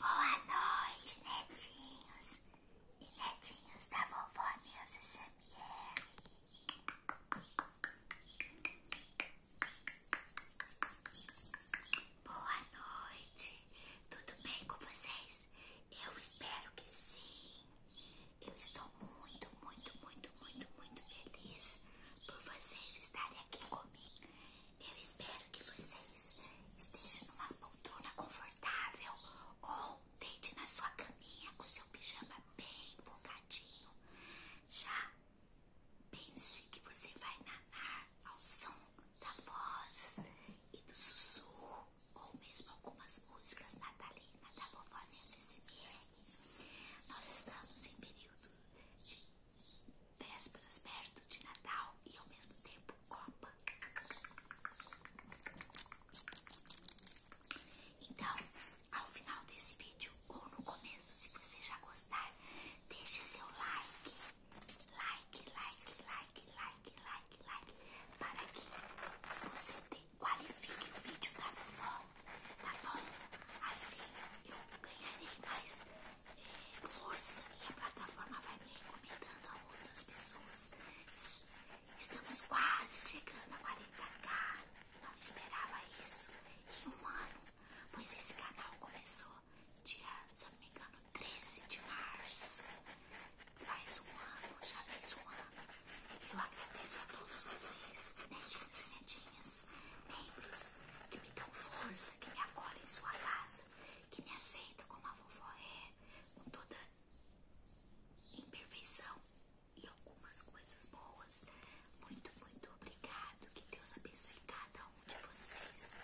Boa noite, netinhos e netinhos da vovó Neuza SMR. Boa noite, tudo bem com vocês? Eu espero que sim. Eu estou muito, muito, muito, muito, muito feliz por vocês estarem aqui comigo. Eu espero que vocês estejam numa poltrona confortável ou deite na sua caminha com seu pijama bem folgadinho. Já pense que você vai nanar ao som da voz e do sussurro ou mesmo algumas músicas natalinas da vovó Neuza SMR. Nós estamos em período de vésperas perto de Natal e ao mesmo tempo Copa. Então, ao final desse vídeo ou no começo, se você já gostar, deixe seu like, like, like, like, like, like, like, para que você qualifique o vídeo da tá vovó, tá bom? Assim eu ganharei mais força e a plataforma vai me recomendando a outras pessoas. Estamos quase chegando a 40k. Não esperava isso em um ano, pois esse canal começou dia, 13 de março. Faz um ano, já faz um ano. Eu agradeço a todos vocês, netinhos né, e netinhas, membros que me dão força, que me acolhem em sua casa que me aceita como a vovó é, com toda imperfeição e algumas coisas boas. Muito, muito obrigado. Que Deus abençoe cada um de vocês.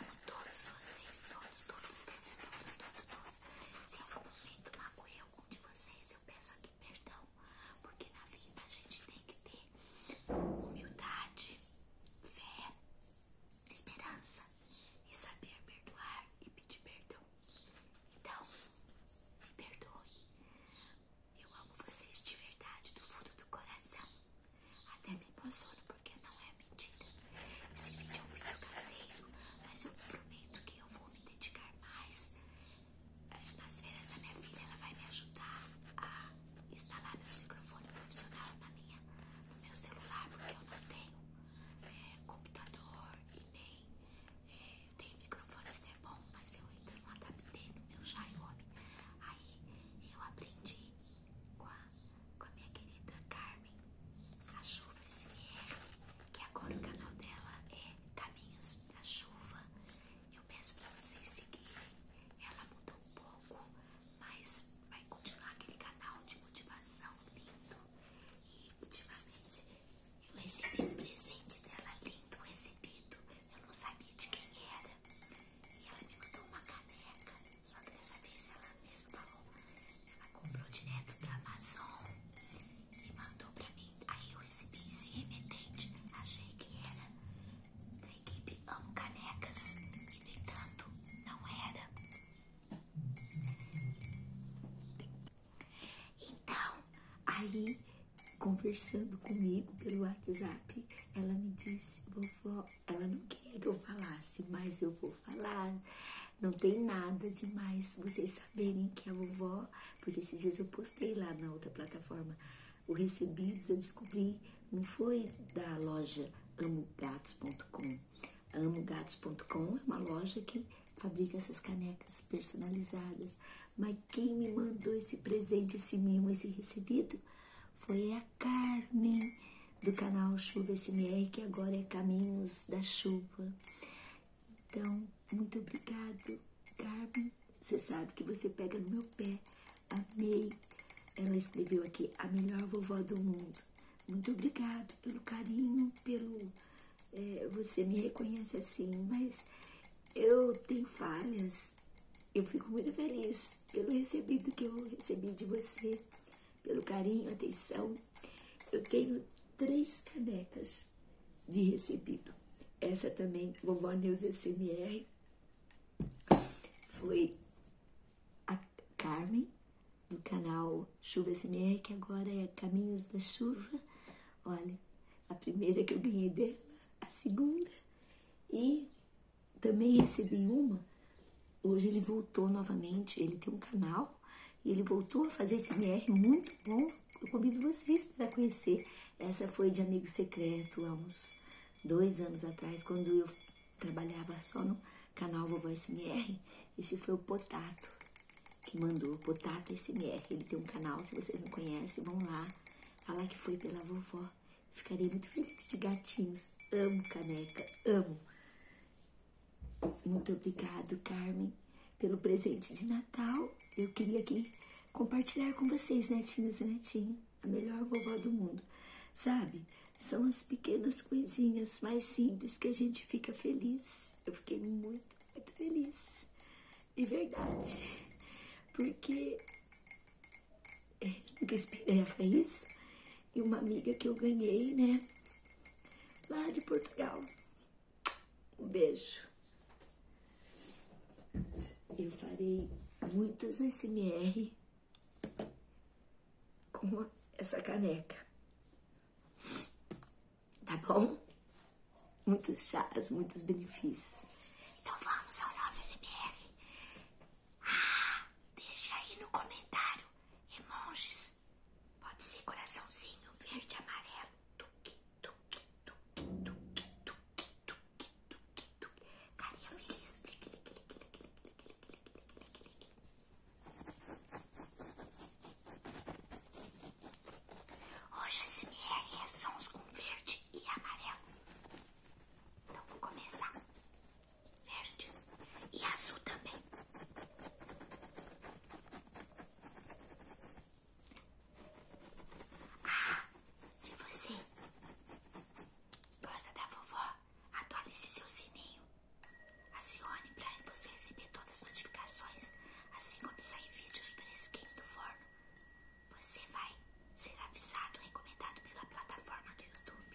Amo todos vocês, todos, todos, todos, todos, todos. Se em algum momento magoei algum de vocês, eu peço aqui perdão, porque na vida a gente tem que ter humildade, fé esperança e saber perdoar e pedir perdão. Então, me perdoe. Eu amo vocês de verdade, do fundo do coração. Até me emociono porque não é mentira. Esse vídeo é um vídeo caseiro, mas eu prometo que eu vou me dedicar mais. É, nas férias da minha filha, ela vai me ajudar a instalar meu microfone profissional na minha, no meu celular, porque eu não tenho eh, computador e nem é, eh, eu tenho microfone, isso é bom, mas eu ainda não adaptei no meu Xiaomi. Aí eu aprendi com com a minha querida Carmen, a Chuva SMR, que agora o canal dela é Caminhos da Chuva. Eu peço para vocês seguirem. Ela mudou um pouco, mas vai continuar aquele canal de motivação lindo. E ultimamente eu recebi um presente dela lindo, recebido. Eu não sabia de quem era. E ela me mandou uma caneca. Só que dessa vez ela mesma falou. Ela comprou direto da Amazon e mandou pra mim. Aí eu recebi esse remetente. Achei que era da equipe Amo Canecas e, no entanto, não era. Então, aí, conversando comigo pelo WhatsApp, ela me disse: Vovó, ela não quer que eu falasse, mas eu vou falar. Não tem nada demais vocês saberem que é a vovó, porque esses dias eu postei lá na outra plataforma. O recebido eu descobri, não foi da loja amogatos.com. amogatos.com é uma loja que fabrica essas canecas personalizadas. Mas quem me mandou esse presente, esse mimo, esse recebido foi a Carmen do canal Chuva SMR, que agora é Caminhos da Chuva. Então, muito obrigado, Carmen. Você sabe que você pega no meu pé, Amei. Ela escreveu aqui, a melhor vovó do mundo. Muito obrigado pelo carinho, pelo... Eh, você me reconhece assim, mas eu tenho falhas. Eu fico muito feliz pelo recebido que eu recebi de você, pelo carinho, atenção. Eu tenho três canecas de recebido. Essa também, vovó Neuza SMR, foi a Carmen, do canal Chuva SMR, que agora é Caminhos da Chuva. Olha, a primeira que eu ganhei dela, a segunda. E também recebi uma. Hoje ele voltou novamente, ele tem um canal e ele voltou a fazer esse MR muito bom. Eu convido vocês para conhecer. Essa foi de Amigo Secreto há uns dois anos atrás, quando eu trabalhava só no canal Vovó SMR. Esse foi o Potato que mandou, Potato SMR. Ele tem um canal, se vocês não conhecem, vão lá. Fala que foi pela vovó. Ficarei muito feliz de gatinhos. Amo caneca, amo. Muito obrigado, Carmen, pelo presente de Natal. Eu queria aqui compartilhar com vocês, netinho e netinho a melhor vovó do mundo. Sabe? São as pequenas coisinhas mais simples que a gente fica feliz. Eu fiquei muito, muito feliz. De verdade. Porque nunca esperei a Faís e uma amiga que eu ganhei, né? Lá de Portugal. Um beijo. Eu farei muitos SMR com essa caneca. Tá bom? Muitos chás, muitos benefícios. Então vamos ao nosso SMR. Ah, deixa aí no comentário emojis. Pode ser coraçãozinho verde, amarelo. Tuque, tuque, tuque, tuque, tuque, tuque. Carinha feliz. Hoje a SMR é sons com verde e amarelo. Então vou começar. Verde e azul também. Ah, se você gosta da vovó, atualize seu sininho, acione para você receber todas as notificações, assim como sair vídeos fresquinho do forno, você vai ser avisado, recomendado pela plataforma do YouTube.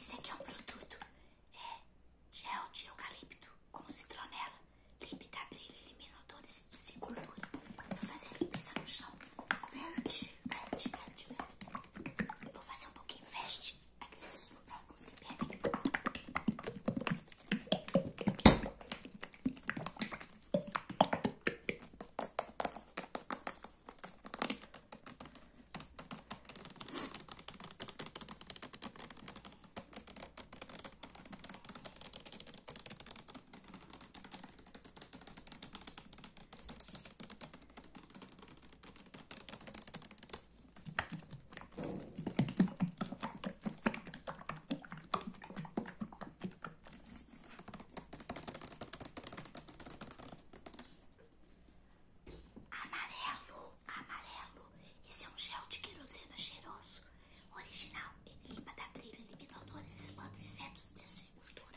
Esse aqui é um produto é gel de eucalipto com citronela, limpa, tá brilho, elimina odores e gordura para fazer a limpeza no chão verde. Grande, grande, grande. Vou fazer um pouquinho fast agressivo pra conseguir pegar. Hum. Amarelo, amarelo. Esse é um gel de querosena cheiroso, original. Ele limpa da trilha, elimina odores, espanta insetos, desfigura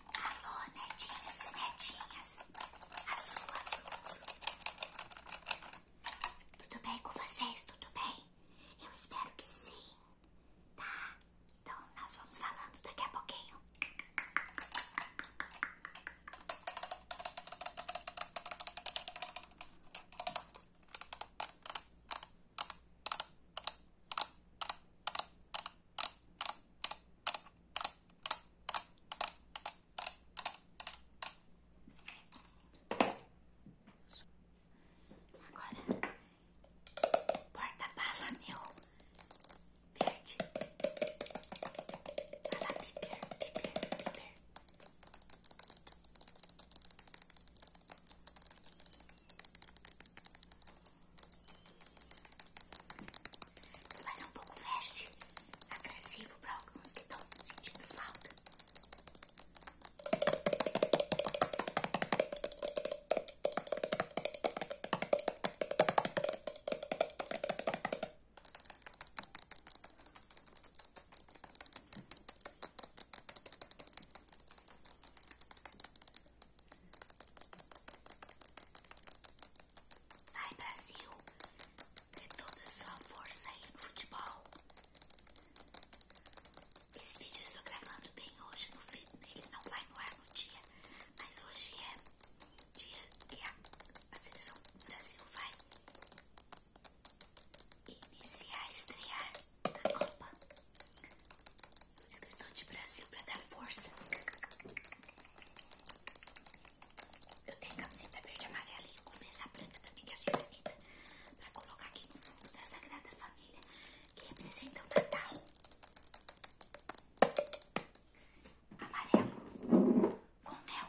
Alô, netinhas, e netinhas. Azul, azul, Tudo bem com vocês? Tudo bem? Eu espero que sim, tá? Então, nós vamos falando daqui a pouquinho. Agora, porta-bala meu verde. Bala piper, piper, piper. Mas ser um pouco fast, agressivo para alguns que estão sentindo falta. Vou ai Brasil, dê toda a sua força aí no futebol. Esse vídeo eu estou gravando bem hoje, no, ele não vai no ar no dia, mas hoje é dia que a, seleção do Brasil vai iniciar, estrear na Copa. Por isso que eu estou de Brasil para dar força. Eu tenho camiseta verde, amarela e eu vou começar branca também, que é achei bonita. Pra colocar aqui no fundo da Sagrada Família, que representa o Natal. Amarelo com mel. Mel, mel.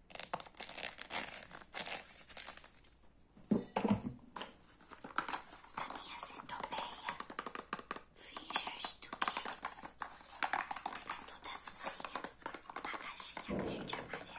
A minha centopeia Fingers do que é toda sucinha, a caixinha verde amarela.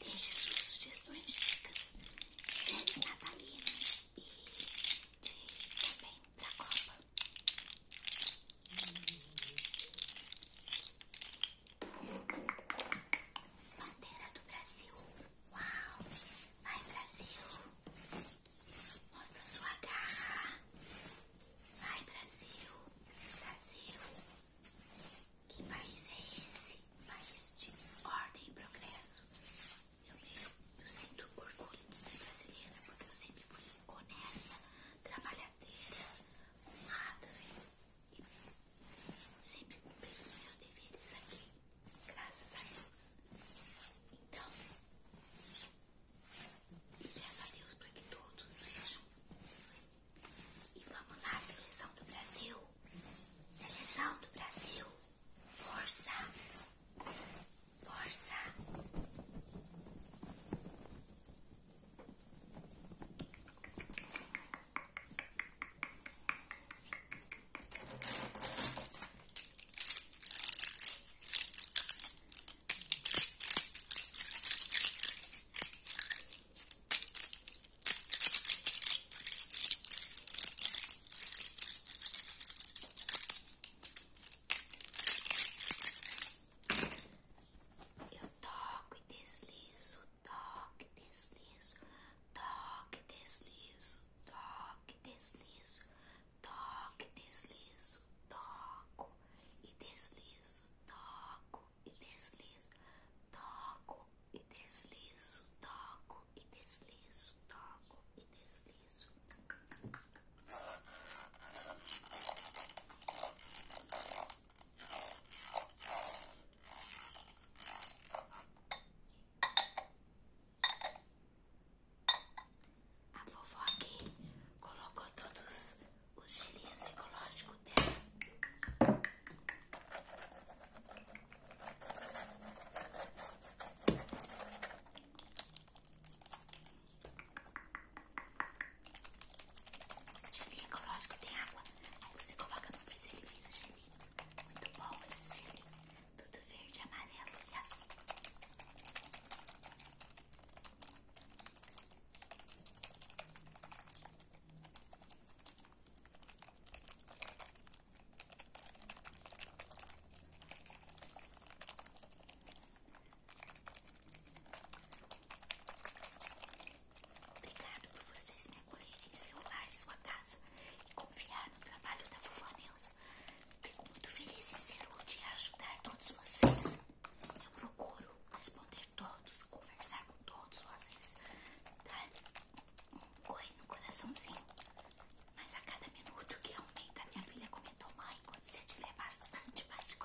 Deixe suas sugestões, dicas de séries natalinas e de, também da Copa. Bandeira do Brasil. Uau! Vai, Brasil! Mostra sua garra! ai Brasil, Brasil. Que país é esse? País de ordem e progresso. Eu, mesmo, eu sinto orgulho de ser brasileira porque eu sempre fui honesta, trabalhadeira, honrada e sempre cumpri os meus deveres aqui, graças a Deus. Então, e peço a Deus para que todos sejam. E vamos lá, seleção do Brasil. Seleção do Brasil. Força. Força. Eu toco e deslizo, toque, deslizo, toque, deslizo, toque, deslizo, toque, deslizo, toco e deslizo, toco e deslizo, toco e deslizo, toco e deslizo, toco e deslizo. A vovó aqui colocou todos os gelinhos ecológicos dela. O gelinho ecológico tem água. Aí você coloca no freezer e vira gelinho. Muito bom esse gelinho. Tudo verde, amarelo e azul. Obrigado por vocês me acolherem em seu sua casa e confiar no trabalho da vovó Neuza. Fico muito feliz em ser útil e ajudar todos vocês. Eu procuro responder todos, conversar com todos, ou às vezes tá? um oi no coraçãozinho. Mas a cada minuto que aumenta, minha filha comentou, mãe, quando você tiver bastante mais de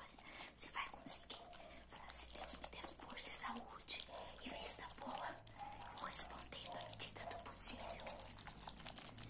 você vai conseguir. Falar se Deus me dê força e saúde e vista boa. Eu vou respondendo à medida do possível.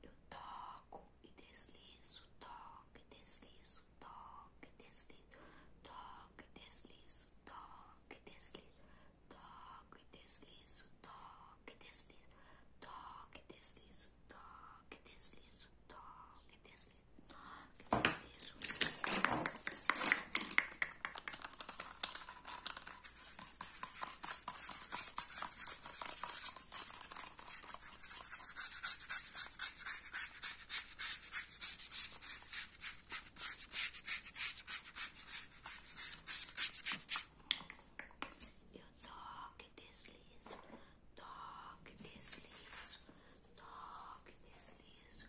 Eu toco e deslizo, toque e deslizo, toco e deslizo, toque e deslizo, toco e deslizo, toque e deslizo, toco e deslizo, toco e deslizo, toco e deslizo, que desejo. Eu toque, deslizo, toque, deslizo, toque, deslizo.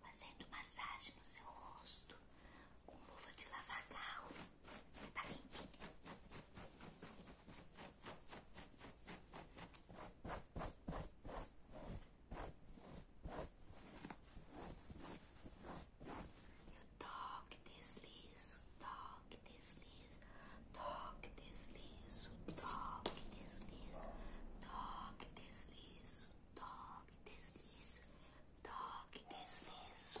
fazendo massagem no seu rosto com luva de lavar carro. Tá limpinha. Eu toque, deslizo, toque, deslizo, toque, deslizo, toque, deslizo, toque, deslizo deslizo, toque, deslizo, toque, deslizo.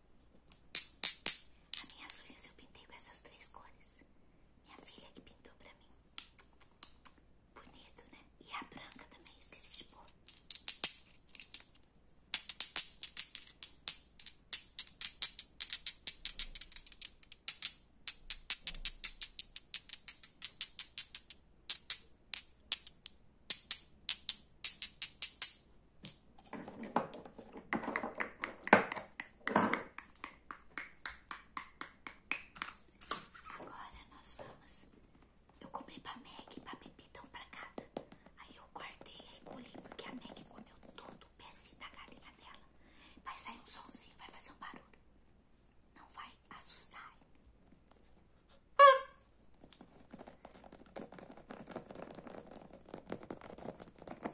As minhas unhas eu pintei com essas três cores. Minha filha que pintou pra mim. Bonito, né? E a branca também, esqueci de pôr. Agora nós vamos. Eu comprei pra Meg, pra bebidão então, pra cada. Aí eu guardei e colhi porque a Meg comeu todo o pezinho da galinha dela. Vai sair um somzinho, vai fazer um barulho. Não vai assustar. Ah!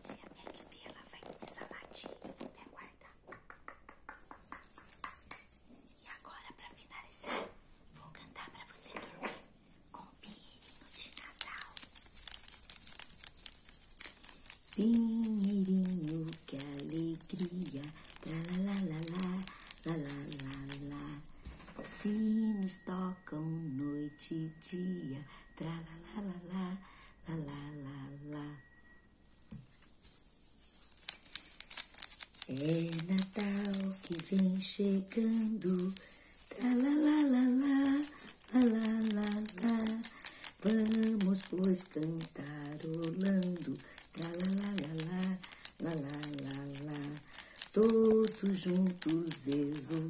Se a minha kivia, ela vai começar a latir, eu vou até guardar. E agora, pra finalizar, vou cantar pra você dormir com pinheirinhos de Natal. Pinheirinho, que alegria, tralalalá, lalalá. Sinos tocam noite e dia. Tra la É Natal que vem chegando. Tra la Vamos pois cantarolando. Tra la Todos juntos exultando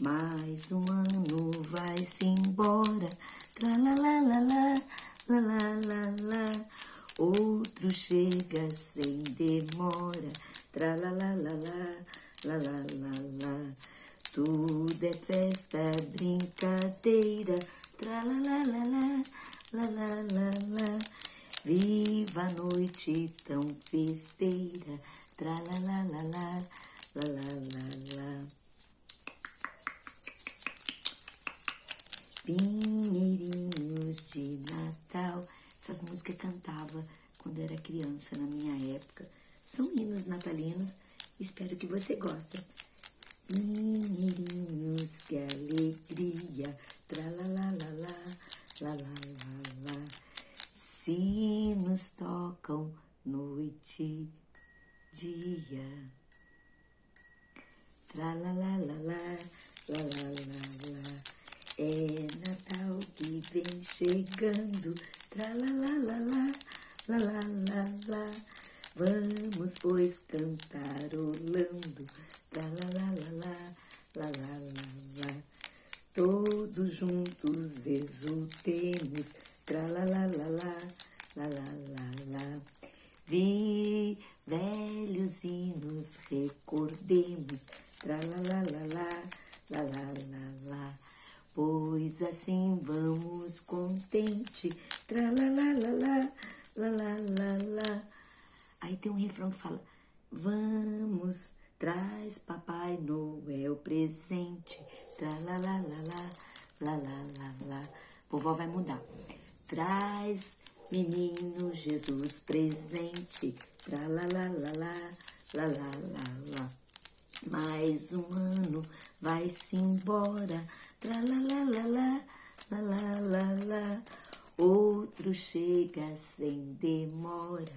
mais um ano vai-se embora, tra la la la Outro chega sem demora, tra la la la Tudo é festa, brincadeira, tra la la la Viva a noite tão festeira, Tra la la la la la la la la. Pinheirinhos de Natal. Essas músicas eu cantava quando era criança na minha época. São hinos natalinos. Espero que você goste. Pinheirinhos, que alegria. Tra la la la la la la la la. Sinos tocam noite, dia. Tra la la la la, É Natal que vem chegando. Tra la la la la, Vamos pois cantarolando. Tra la la la la la la la. Todos juntos exultemos, tra la Vi velhos e nos recordemos, tra la Pois assim vamos contente, tra la Aí tem um refrão que fala Vamos, traz Papai Noel presente. Tra lá lá lá lá lá lá lá lá. Vovó vai mudar. Traz menino Jesus presente. Tra lá lá lá lá lá lá lá Mais um ano vai-se embora. Tra lá lá lá lá lá lá lá Outro chega sem demora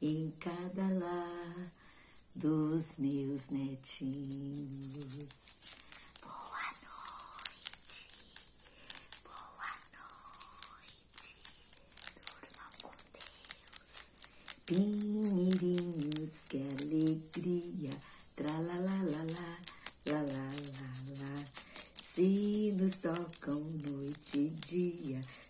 em cada lar dos meus netinhos. Boa noite, boa noite, durmam com Deus. Pinheirinhos, que alegria, tralalalá, lalalá. Sinos tocam noite e dia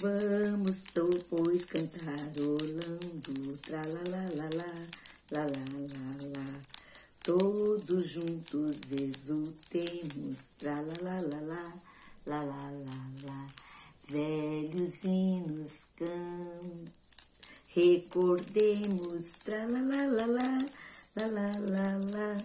Vamos, tô, pois, cantarolando, tra lá lá lá lá, lá lá lá lá. Todos juntos exultemos, tra lá lá lá lá, lá lá lá lá. Velhos hinos cantam, recordemos, tra lá lá lá lá, lá lá lá lá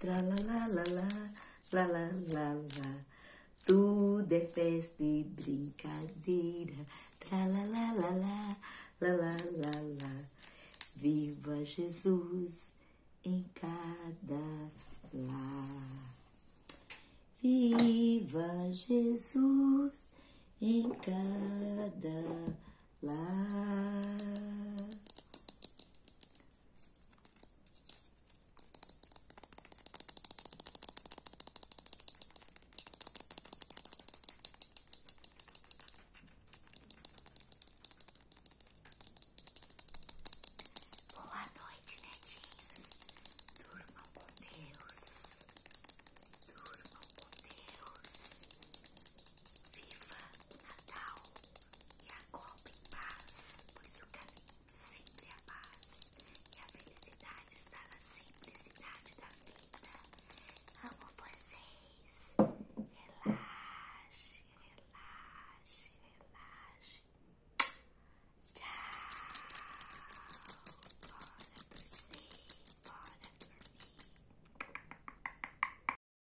tra la la la la, la la la la. Tudo é festa e brincadeira, tra la la la la, la la la la. Viva Jesus em cada lar. Viva Jesus em cada love. Boa noite, netinhos. Durmam com Deus. Durmam com Deus. Viva Natal e a Copa em paz, pois o caminho sempre é a paz e a felicidade está na simplicidade da vida. Amo vocês. Relaxe, relaxe, relaxe. Tchau. Bora por si, bora por mim.